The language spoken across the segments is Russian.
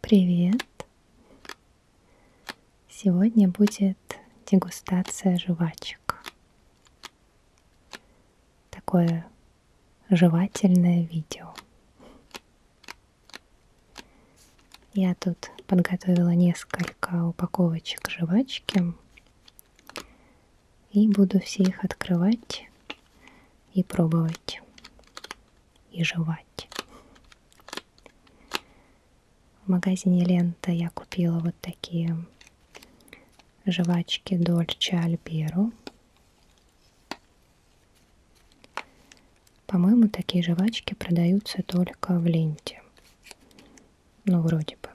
Привет! Сегодня будет дегустация жвачек. Такое жевательное видео. Я тут подготовила несколько упаковочек жвачки. И буду все их открывать и пробовать, и жевать. В магазине Лента я купила вот такие жвачки Дольче Альберу. По-моему, такие жвачки продаются только в ленте. Ну, вроде бы.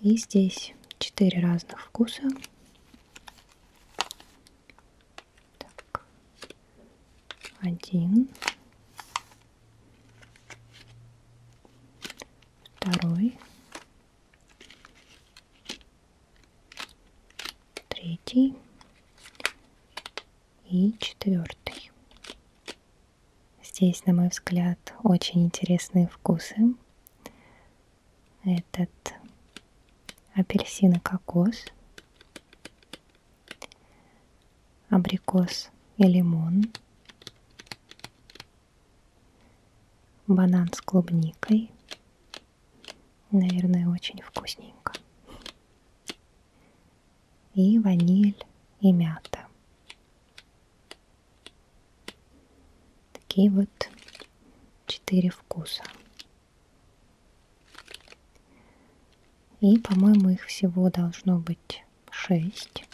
И здесь 4 разных вкуса. Так. Один. Второй. Третий. И четвертый. Здесь, на мой взгляд, очень интересные вкусы. Этот апельсин и кокос, абрикос и лимон, банан с клубникой. Наверное, очень вкусненько. И ваниль и мята. Такие вот четыре вкуса. И, по-моему, их всего должно быть шесть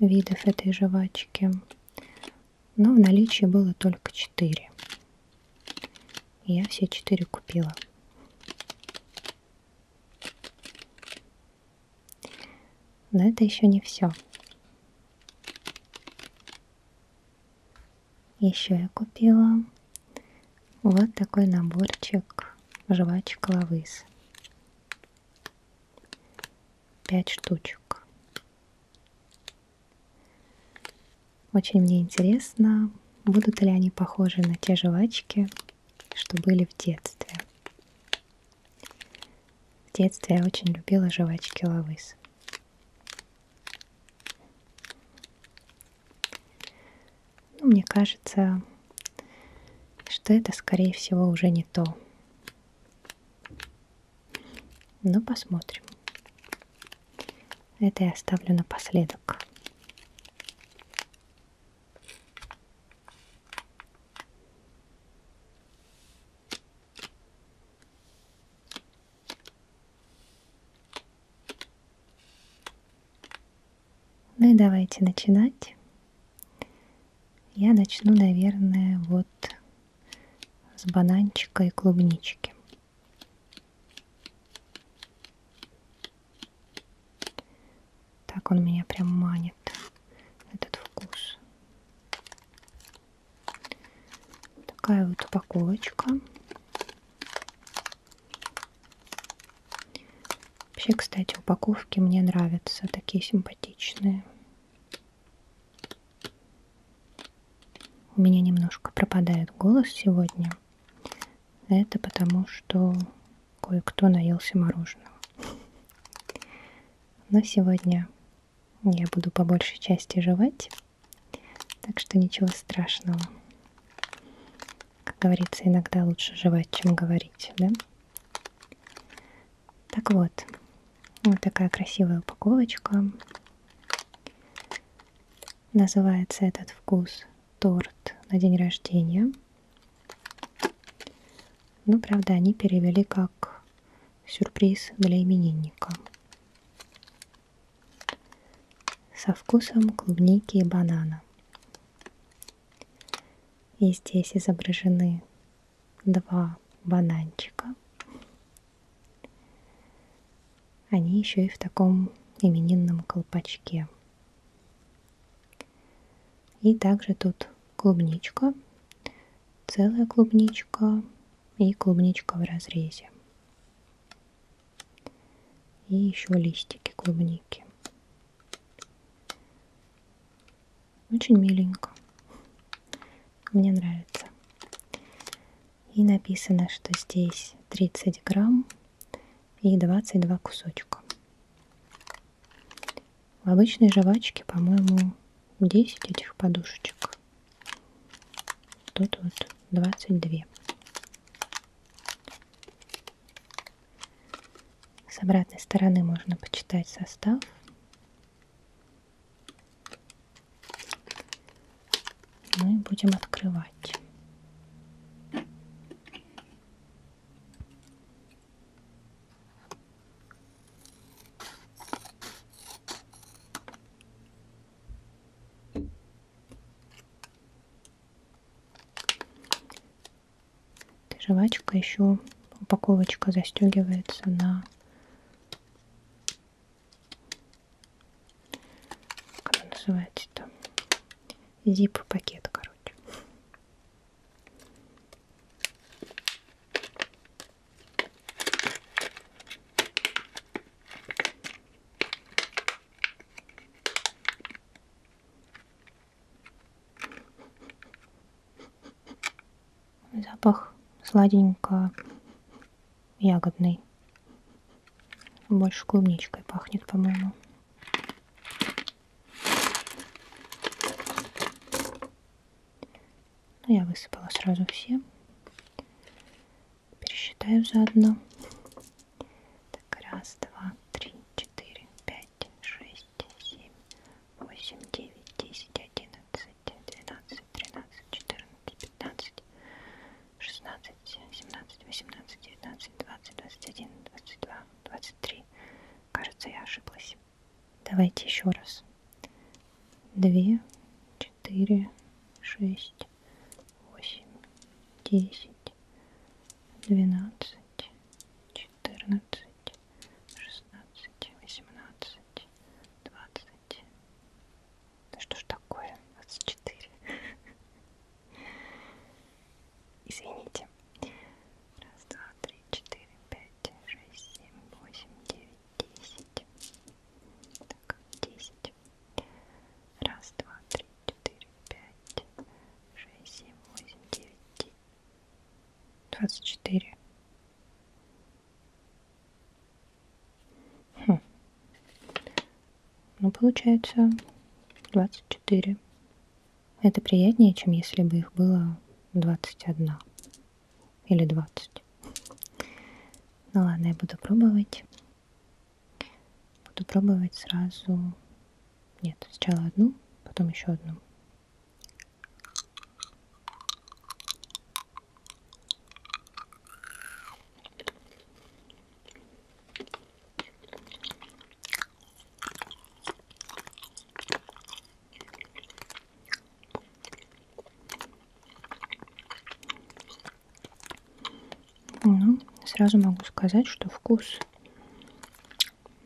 видов этой жвачки. Но в наличии было только четыре. Я все четыре купила. Но это еще не все. Еще я купила вот такой наборчик жвачка Лавыс. Пять штучек. Очень мне интересно, будут ли они похожи на те жвачки, что были в детстве. В детстве я очень любила жвачки Лавыс. Ну, мне кажется, что это, скорее всего, уже не то. Но посмотрим. Это я оставлю напоследок. Ну и давайте начинать. Я начну, наверное, вот с бананчика и клубнички. Так он меня прям манит этот вкус. Такая вот упаковочка. Вообще, кстати, упаковки мне нравятся, такие симпатичные. У меня немножко пропадает голос сегодня. Это потому, что кое-кто наелся мороженого. Но сегодня я буду по большей части жевать, так что ничего страшного. Как говорится, иногда лучше жевать, чем говорить, да? Так вот, вот такая красивая упаковочка. Называется этот вкус торт на день рождения. Ну, правда, они перевели как Сюрприз для именинника. Со вкусом клубники и банана. И здесь изображены два бананчика. Они еще и в таком именинном колпачке. И также тут клубничка целая клубничка и клубничка в разрезе. И еще листики клубники. Очень миленько. Мне нравится. И написано, что здесь 30 грамм и 22 кусочка. В обычной жвачке, по-моему, 10 этих подушечек. Тут вот 22. С обратной стороны можно почитать состав. Мы будем открывать. Жвачка еще упаковочка застегивается на как она называется-то зип пакет короче Запах сладенько ягодный. Больше клубничкой пахнет, по-моему. Ну, я высыпала сразу все. Пересчитаю заодно. Так, раз, два, три, четыре, пять, шесть, семь, восемь, девять, десять, одиннадцать, двенадцать, тринадцать, четырнадцать, пятнадцать, шестнадцать, семнадцать, восемнадцать, девятнадцать, двадцать, двадцать один, двадцать два, двадцать три. Кажется, я ошиблась. Давайте еще раз. Две, четыре, шесть, восемь, десять, двенадцать, четырнадцать, шестнадцать, восемнадцать, двадцать. Да что ж такое? Двадцать четыре. Извините. Раз, два, три, четыре, пять, шесть, семь, восемь, девять, десять. Так, десять. Раз, два, три, четыре, пять, шесть, семь, восемь, девять, двадцать четыре. Хм. Ну, получается, 24. Это приятнее, чем если бы их было 21 или 20. Ну ладно, я буду пробовать. Буду пробовать сразу... Нет, сначала одну, потом еще одну. Ну, сразу могу сказать, что вкус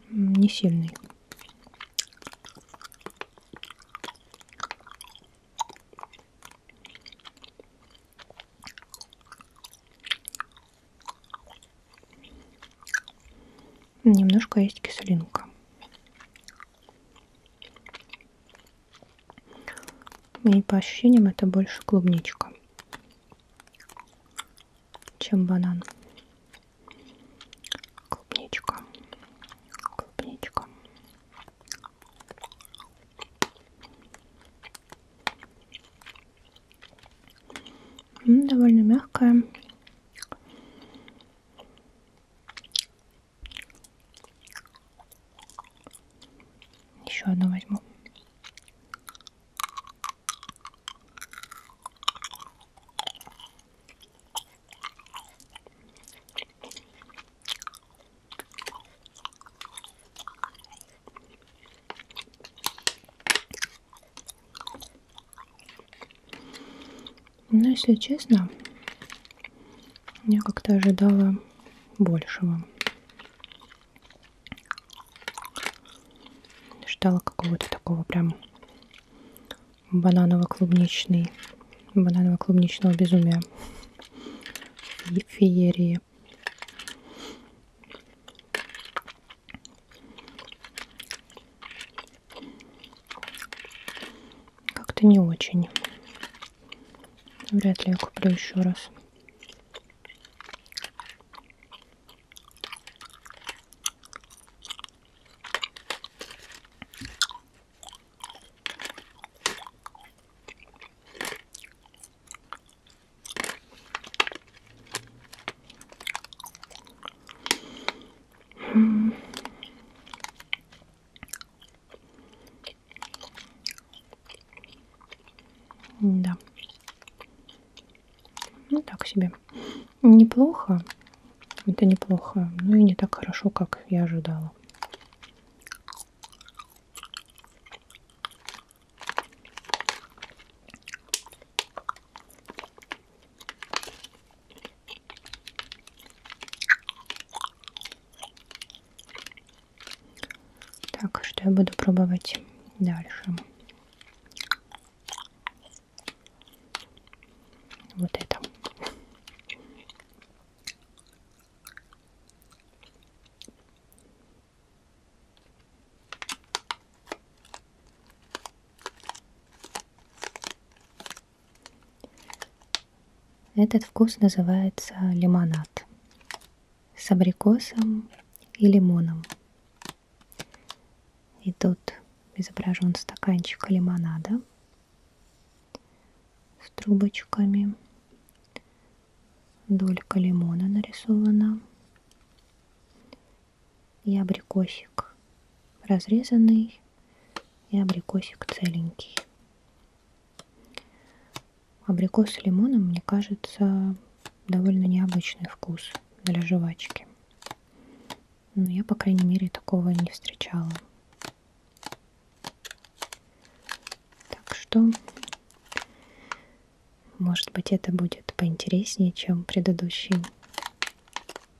не сильный. Немножко есть кислинка. И по ощущениям это больше клубничка, чем банан. Клубничка. Клубничка. Довольно мягкая. Еще одну возьму. Но, ну, если честно, я как-то ожидала большего. Ждала какого-то такого прям бананово-клубничный, бананово-клубничного безумия и феерии. Как-то не очень. Вряд ли я куплю еще раз. Да. Ну, так себе. Неплохо. Это неплохо. Ну и не так хорошо, как я ожидала. Так, что я буду пробовать дальше? Вот это. Этот вкус называется лимонад с абрикосом и лимоном. И тут изображен стаканчик лимонада с трубочками. Долька лимона нарисована и абрикосик разрезанный и абрикосик целенький. Абрикос с лимоном, мне кажется, довольно необычный вкус для жвачки. Но я, по крайней мере, такого не встречала. Так что, может быть, это будет поинтереснее, чем предыдущий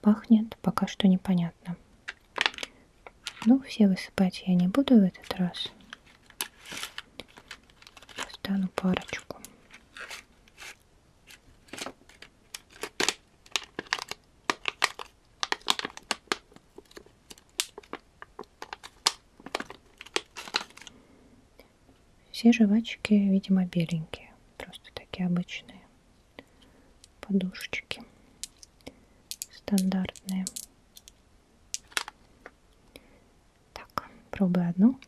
Пахнет пока что непонятно. Ну, все высыпать я не буду в этот раз. Стану парочку. Все жвачки, видимо, беленькие, просто такие обычные подушечки стандартные. Так, пробую одну.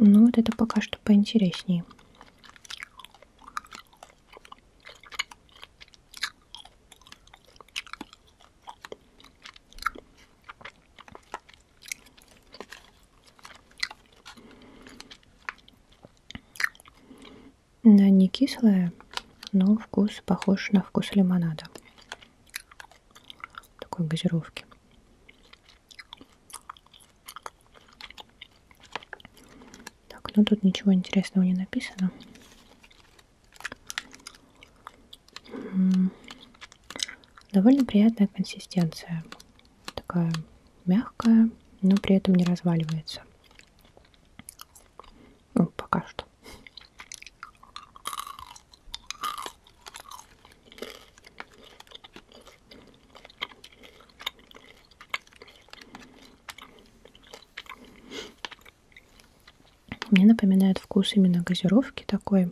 Ну, вот это пока что поинтереснее. Она не кислая, но вкус похож на вкус лимонада. Такой газировки. Так, ну тут ничего интересного не написано. Довольно приятная консистенция. Такая мягкая, но при этом не разваливается. Ну, пока что. Мне напоминает вкус именно газировки такой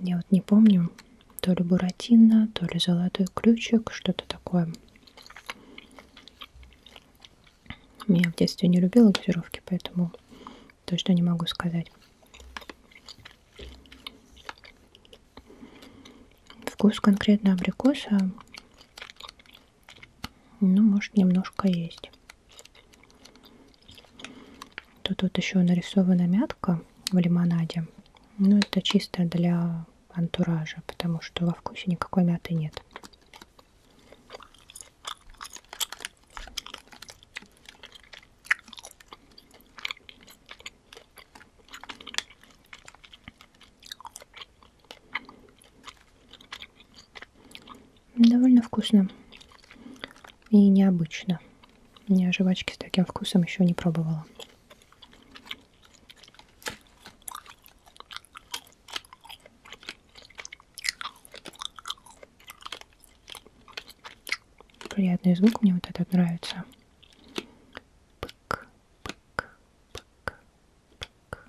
я вот не помню, то ли Буратино, то ли Золотой Ключик, что-то такое. Я в детстве не любила газировки, поэтому точно не могу сказать. Вкус конкретно абрикоса, ну, может, немножко есть то тут еще нарисована мятка в лимонаде. Но ну, это чисто для антуража, потому что во вкусе никакой мяты нет довольно вкусно и необычно. Я жвачки с таким вкусом еще не пробовала. Приятный звук, мне вот этот нравится. Пык, пык, пык, пык,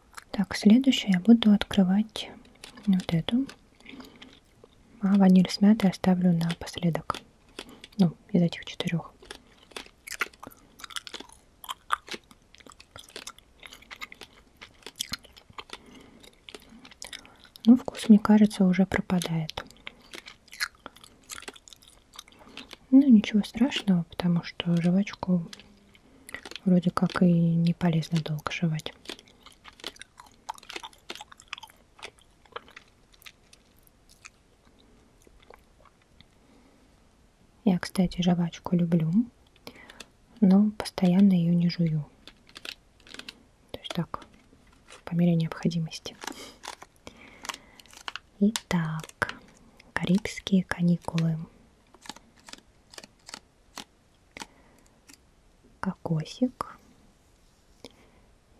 Так, следующее я буду открывать вот эту. А ваниль с мятой оставлю напоследок. Ну, из этих четырех. Ну, вкус, мне кажется, уже пропадает. Ну, ничего страшного, потому что жвачку вроде как и не полезно долго жевать. Я, кстати, жвачку люблю, но постоянно ее не жую. То есть так, по мере необходимости. Итак, карибские каникулы кокосик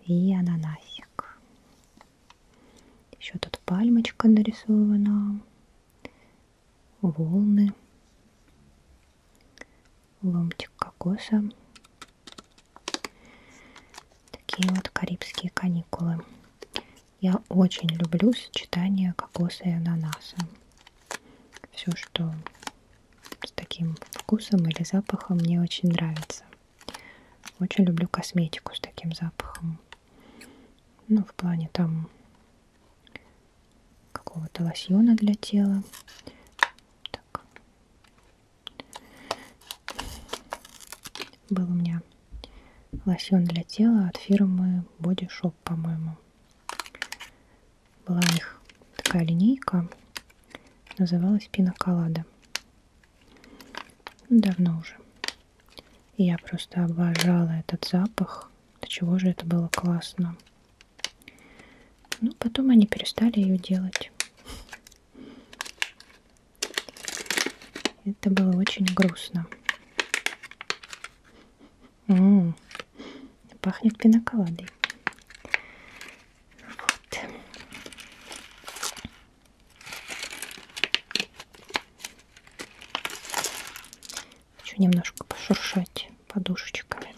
и ананасик. Еще тут пальмочка нарисована, волны, ломтик кокоса. Такие вот карибские каникулы. Я очень люблю сочетание кокоса и ананаса. Все, что с таким вкусом или запахом мне очень нравится. Очень люблю косметику с таким запахом. Ну, в плане там какого-то лосьона для тела. Так. Был у меня лосьон для тела от фирмы Body Shop. Shop, по-моему. Была у них такая линейка, называлась пинаколада. Ну, давно уже. И я просто обожала этот запах. До чего же это было классно. Ну, потом они перестали ее делать. Это было очень грустно. М -м, пахнет пиноколадой. Вот. Хочу немножко пошуршать подушечками.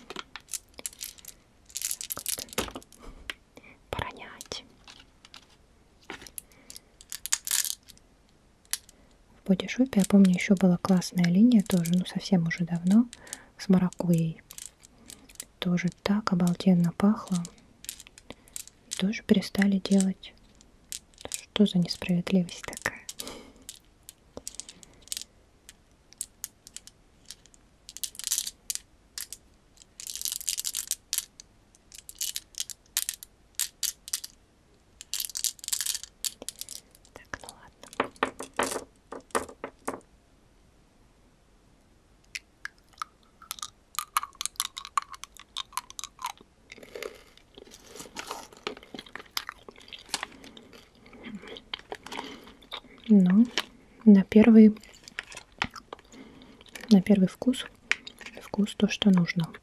Вот. Поронять в бодишопе. Я помню, еще была классная линия тоже, ну совсем уже давно, с маракуей. Тоже так обалденно пахло. Тоже перестали делать. Что за несправедливость такая? Так, ну ладно. Но ну, на первый на первый вкус вкус то, что нужно.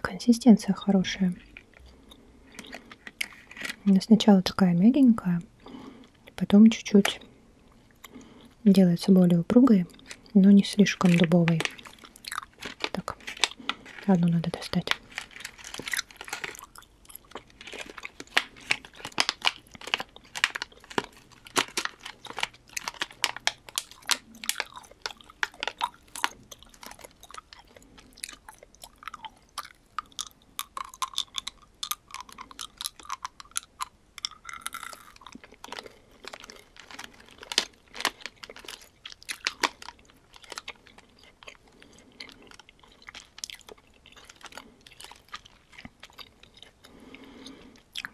Консистенция хорошая. Она сначала такая мягенькая, потом чуть-чуть делается более упругой, но не слишком дубовой. Так, одну надо достать.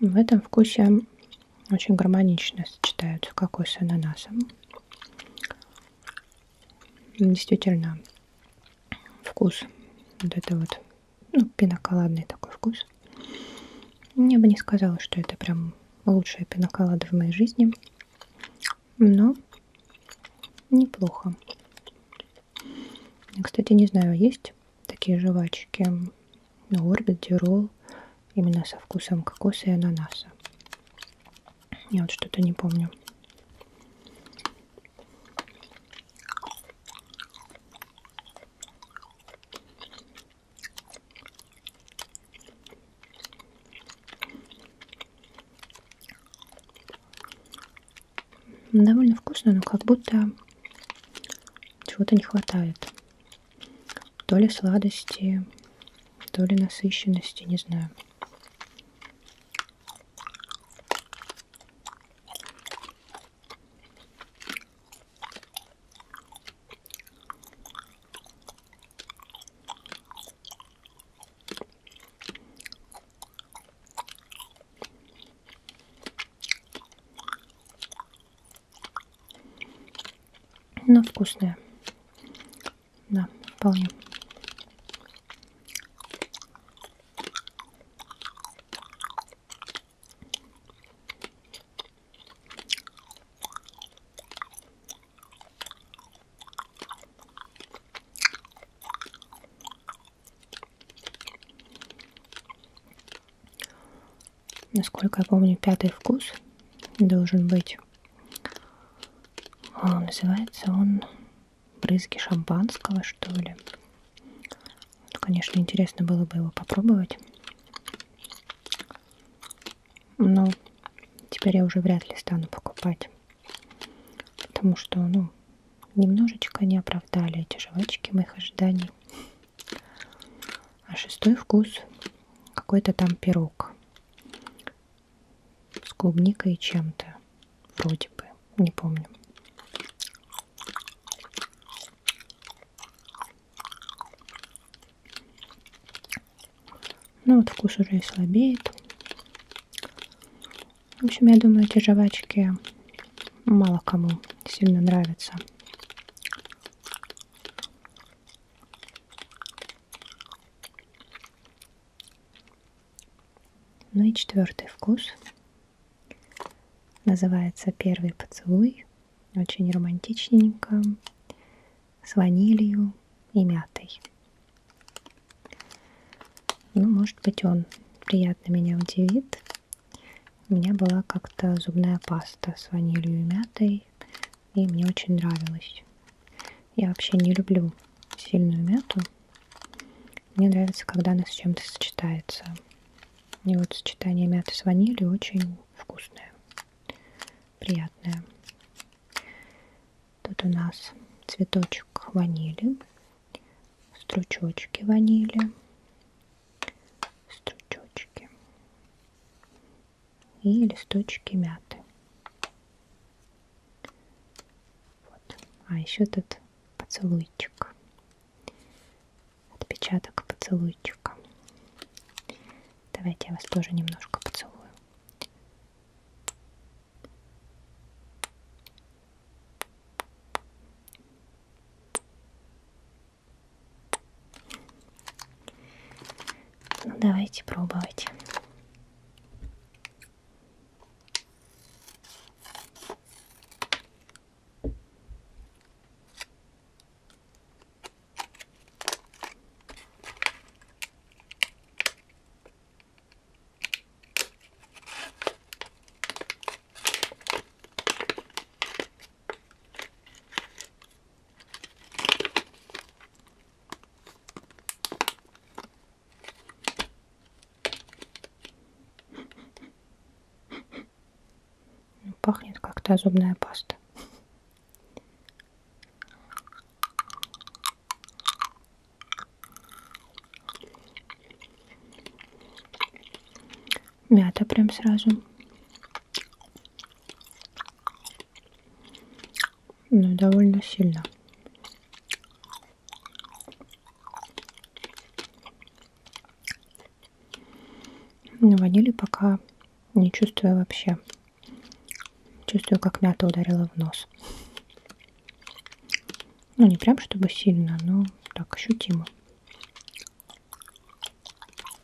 В этом вкусе очень гармонично сочетаются кокос с ананасом. Действительно, вкус вот это вот, ну, пиноколадный такой вкус. Я бы не сказала, что это прям лучшая пиноколада в моей жизни, но неплохо. Я, кстати, не знаю, есть такие жвачки на орбите ролл именно со вкусом кокоса и ананаса. Я вот что-то не помню. Довольно вкусно, но как будто чего-то не хватает. То ли сладости, то ли насыщенности, не знаю. Но ну, вкусная. Да, вполне насколько я помню, пятый вкус должен быть. Он, а, называется он брызги шампанского, что ли. Вот, конечно, интересно было бы его попробовать. Но теперь я уже вряд ли стану покупать. Потому что, ну, немножечко не оправдали эти жвачки моих ожиданий. А шестой вкус какой-то там пирог с клубникой и чем-то. Вроде бы, не помню. Ну вот вкус уже и слабеет. В общем, я думаю, эти жвачки мало кому сильно нравятся. Ну и четвертый вкус. Называется первый поцелуй. Очень романтичненько. С ванилью и мятой. Ну, может быть, он приятно меня удивит. У меня была как-то зубная паста с ванилью и мятой и мне очень нравилось. Я вообще не люблю сильную мяту. Мне нравится, когда она с чем-то сочетается. И вот сочетание мяты с ванилью очень вкусное, приятное. Тут у нас цветочек ванили, стручочки ванили, стручочки и листочки мяты. Вот. А еще тут поцелуйчик. Отпечаток поцелуйчика. Давайте я вас тоже немножко поцелую. Ну, давайте пробовать. Пахнет как-то зубная паста. Мята прям сразу но ну, довольно сильно. На ванили пока не чувствую вообще. Чувствую, как мята ударила в нос. Ну, не прям чтобы сильно, но так ощутимо.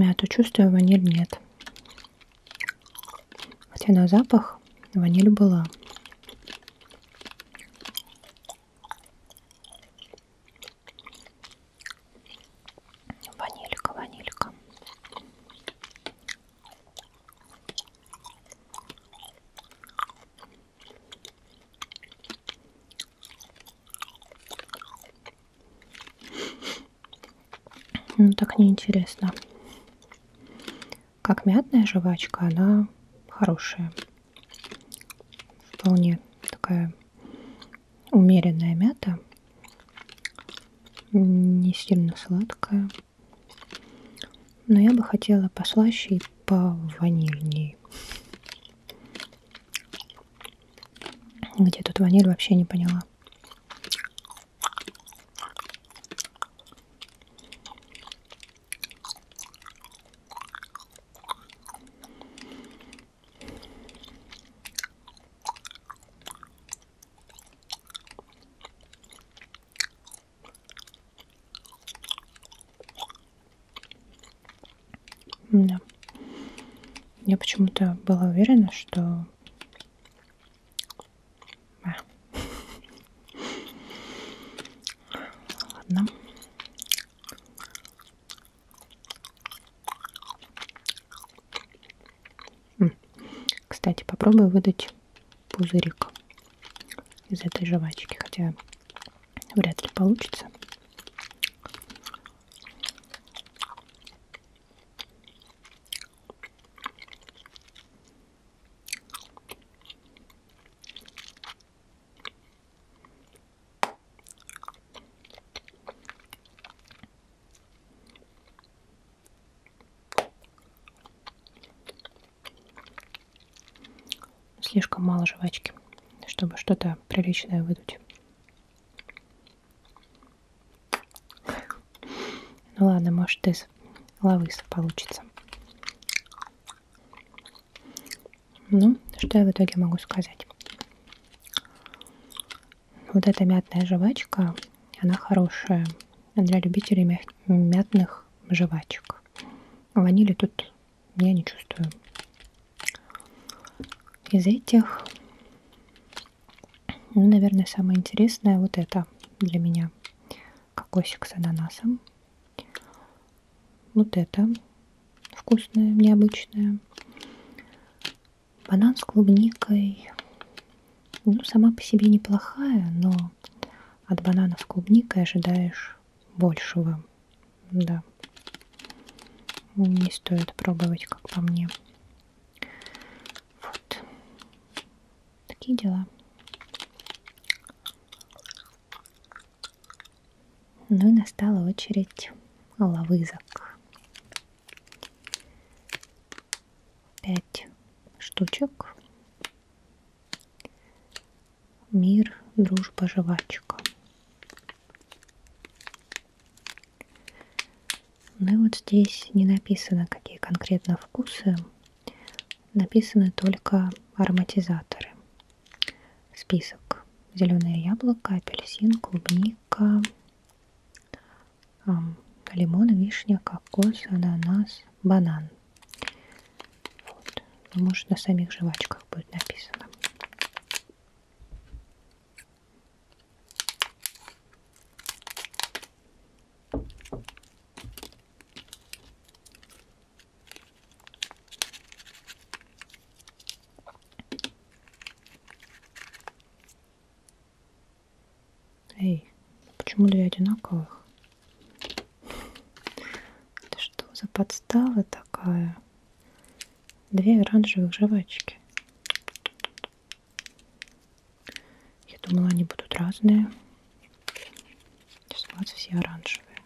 Мяту чувствую, ваниль нет. Хотя на запах ваниль была. Ванилька, ванилька. Ну, так неинтересно. Как мятная жвачка, она хорошая. Вполне такая умеренная мята. Не сильно сладкая. Но я бы хотела послаще и пованильней. Где тут ваниль, вообще не поняла. Да. Я почему-то была уверена, что... А. Ладно. Кстати, попробую выдать пузырик из этой жвачки, хотя Вряд ли получится слишком мало жвачки, чтобы что-то приличное выдуть. Ну ладно, может из лавыса получится. Ну, что я в итоге могу сказать? Вот эта мятная жвачка, она хорошая для любителей мя мятных жвачек. Ванили тут я не чувствую. Из этих, ну, наверное, самое интересное вот это для меня. Кокосик с ананасом. Вот это вкусное, необычное. Банан с клубникой. Ну, сама по себе неплохая, но от банана с клубникой ожидаешь большего. Да. Не стоит пробовать, как по мне. Вот. Такие дела. Ну и настала очередь лавызок. Пять штучек мир, дружба, жвачка. Ну и вот здесь не написано, какие конкретно вкусы, написаны только ароматизаторы. Список. Зеленое яблоко, апельсин, клубника, лимон, вишня, кокос, ананас, банан. Вот. Ну, может, на самих жвачках будет написано. Эй, почему две одинаковых? Это что за подстава такая? две оранжевых жвачки. Я думала, они будут разные. Сейчас у нас все оранжевые.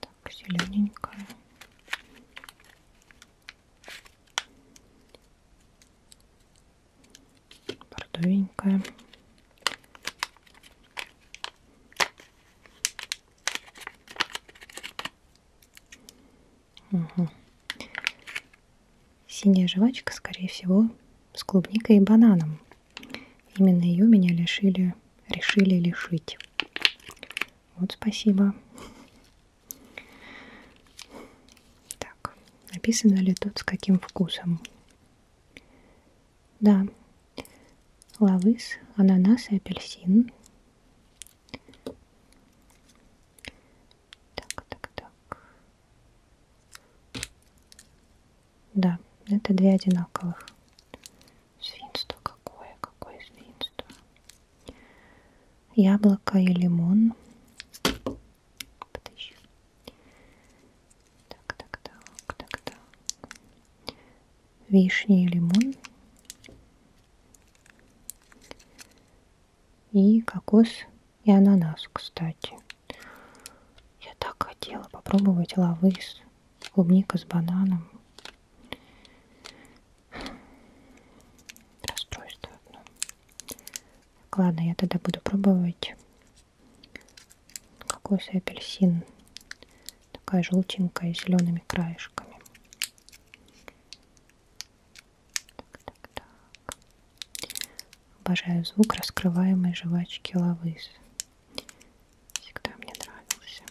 Так, зелененькая. Бордовенькая. Угу. Синяя жвачка, скорее всего, с клубникой и бананом. Именно ее меня лишили, решили лишить. Вот спасибо. Так, написано ли тут с каким вкусом? Да, лавыс, ананас и апельсин. Так, так, так. Да, это две одинаковых. Свинство какое, какое свинство. Яблоко и лимон. Потыщу. Так, так, так, так, так вишня и лимон. И кокос и ананас, кстати. Я так хотела попробовать лавы с клубника с бананом. Расстройство одно. Так, ладно, я тогда буду пробовать кокос и апельсин Такая желтенькая, с зелеными краешками. Так, так, так. Обожаю звук раскрываемой жвачки лавыс. Всегда мне нравился.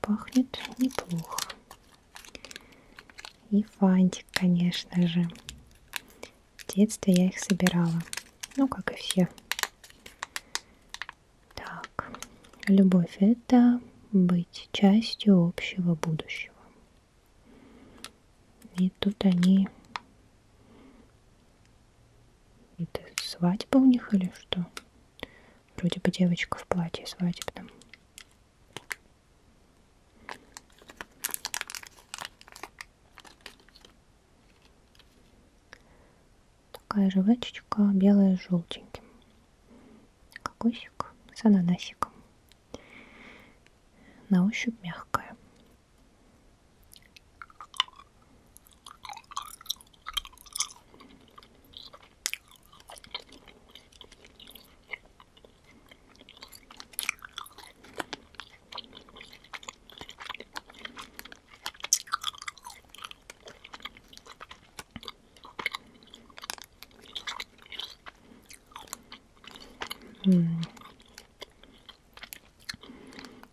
Пахнет неплохо. И фантик, конечно же. В детстве я их собирала. Ну, как и все. Так. Любовь — это быть частью общего будущего. И тут они... Это свадьба у них или что? Вроде бы девочка в платье свадебном. Типа Такая жвачечка белая с желтеньким. Кокосик с ананасиком. На ощупь мягкая.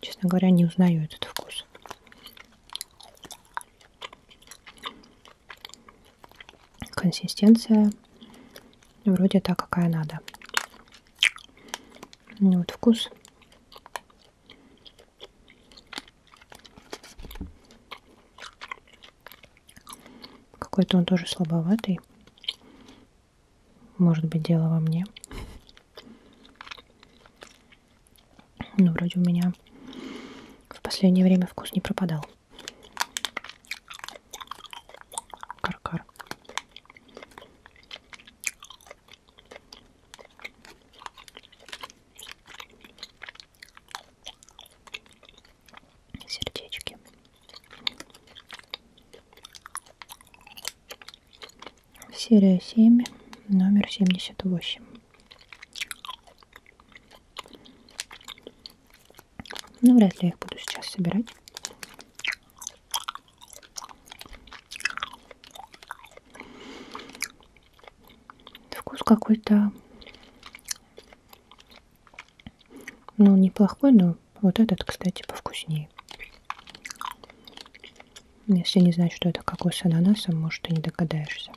Честно говоря, не узнаю этот вкус. Консистенция вроде та, какая надо. Ну, вот вкус. Какой-то он тоже слабоватый. Может быть, дело во мне. Ну, вроде у меня в последнее время вкус не пропадал. Каркар. -кар. Сердечки серия 7, номер 78. Ну, вряд ли я их буду сейчас собирать. Вкус какой-то, ну, неплохой, но вот этот, кстати, повкуснее. Если не знать, что это кокос с ананасом, может, ты не догадаешься.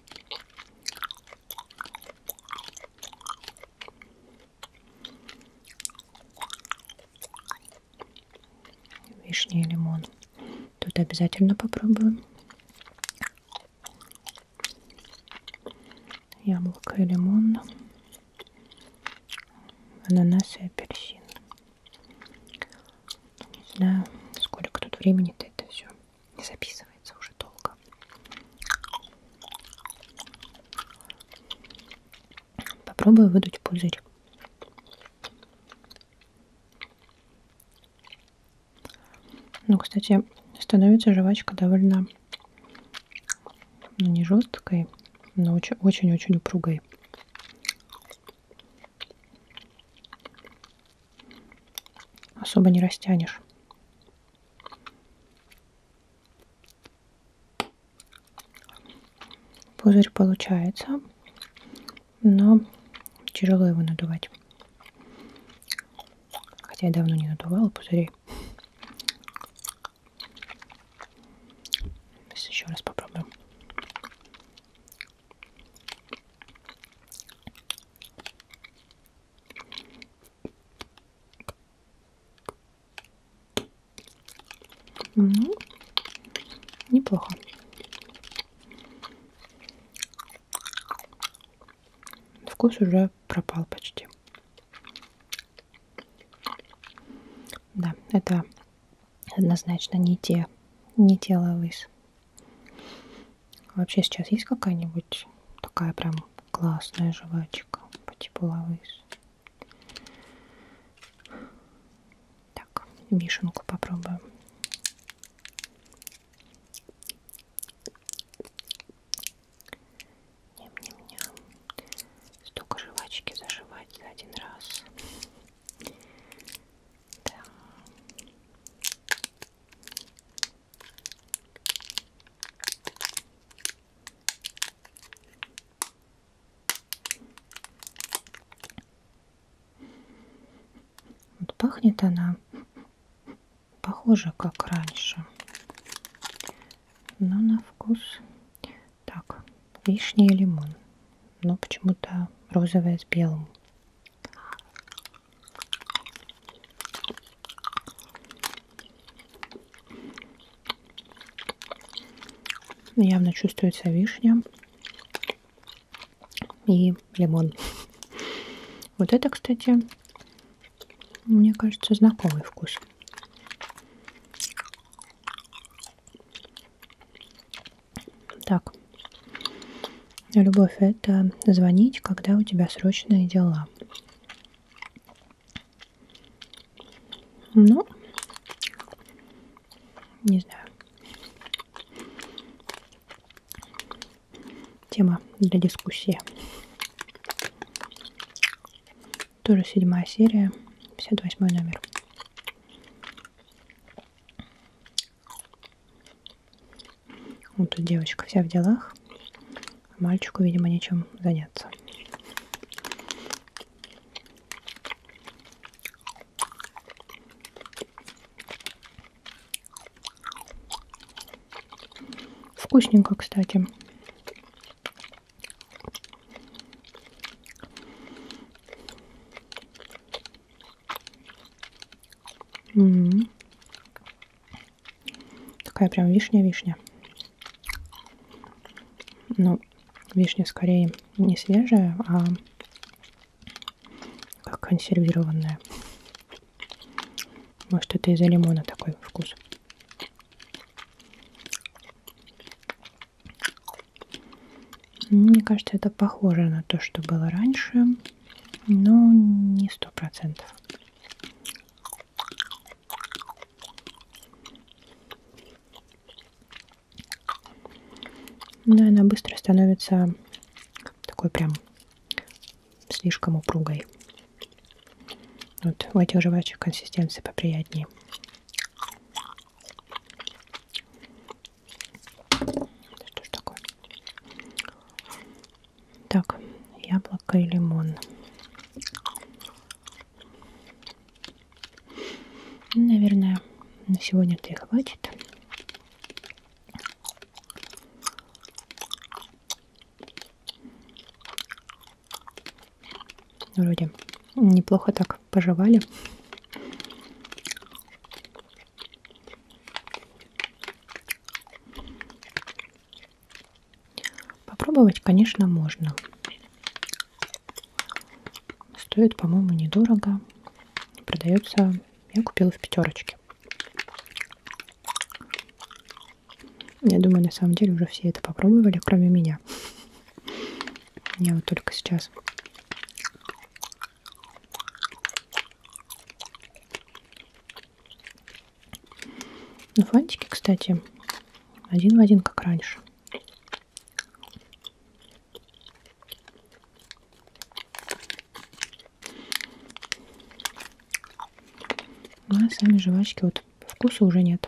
Вишня и лимон. Тут обязательно попробую. Яблоко и лимон. Ананас и апельсин. Не знаю, сколько тут времени-то это все не записывается уже долго. Попробую выдуть пузырь. Ну, кстати, становится жвачка довольно ну, не жесткой, но очень-очень упругой особо не растянешь. Пузырь получается, но тяжело его надувать. Хотя я давно не надувала пузырей. Сейчас еще раз попробуем. Ну, неплохо. Вкус уже пропал почти. Да, это однозначно не те, не те лавыс. А вообще сейчас есть какая-нибудь такая прям классная жвачка по типу лавыс? Так, вишенку попробуем. Ням-ням-ням. Столько жвачки заживать за один раз. Да. Вот пахнет она похоже, как раньше. Но на вкус так, вишня и лимон. Но почему-то розовая с белым. Явно чувствуется вишня и лимон. Вот это, кстати, мне кажется, знакомый вкус. Так, любовь – это звонить, когда у тебя срочные дела. Ну, не знаю. Тема для дискуссии. Тоже седьмая серия, 58 номер. Вот тут девочка вся в делах. А мальчику, видимо, нечем заняться. Вкусненько, кстати. М -м -м. Такая прям вишня-вишня. Ну, вишня скорее не свежая, а как консервированная. Может, это из-за лимона такой вкус. Мне кажется, это похоже на то, что было раньше, но не сто процентов. Но ну, она быстро становится такой прям слишком упругой. Вот у этих жвачек консистенция поприятнее. Да что ж такое? Так, яблоко и лимон. Наверное, на сегодня-то и хватит. Вроде неплохо так пожевали. Попробовать, конечно, можно. Стоит, по-моему, недорого. Продается, я купила в пятерочке. Я думаю, на самом деле уже все это попробовали, кроме меня. Я вот только сейчас ну, фантики, кстати, один в один, как раньше. Ну, а сами жвачки, вот вкуса уже нет.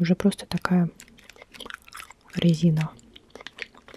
Уже просто такая резина.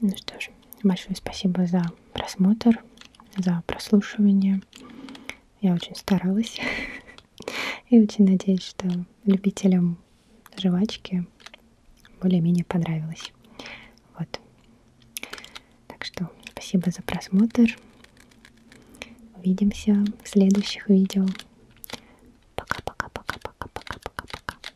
Ну что ж, большое спасибо за просмотр, за прослушивание. Я очень старалась и очень надеюсь, что любителям жвачки более-менее понравилось. Вот. Так что спасибо за просмотр. Увидимся в следующих видео. Пока-пока-пока-пока-пока-пока-пока.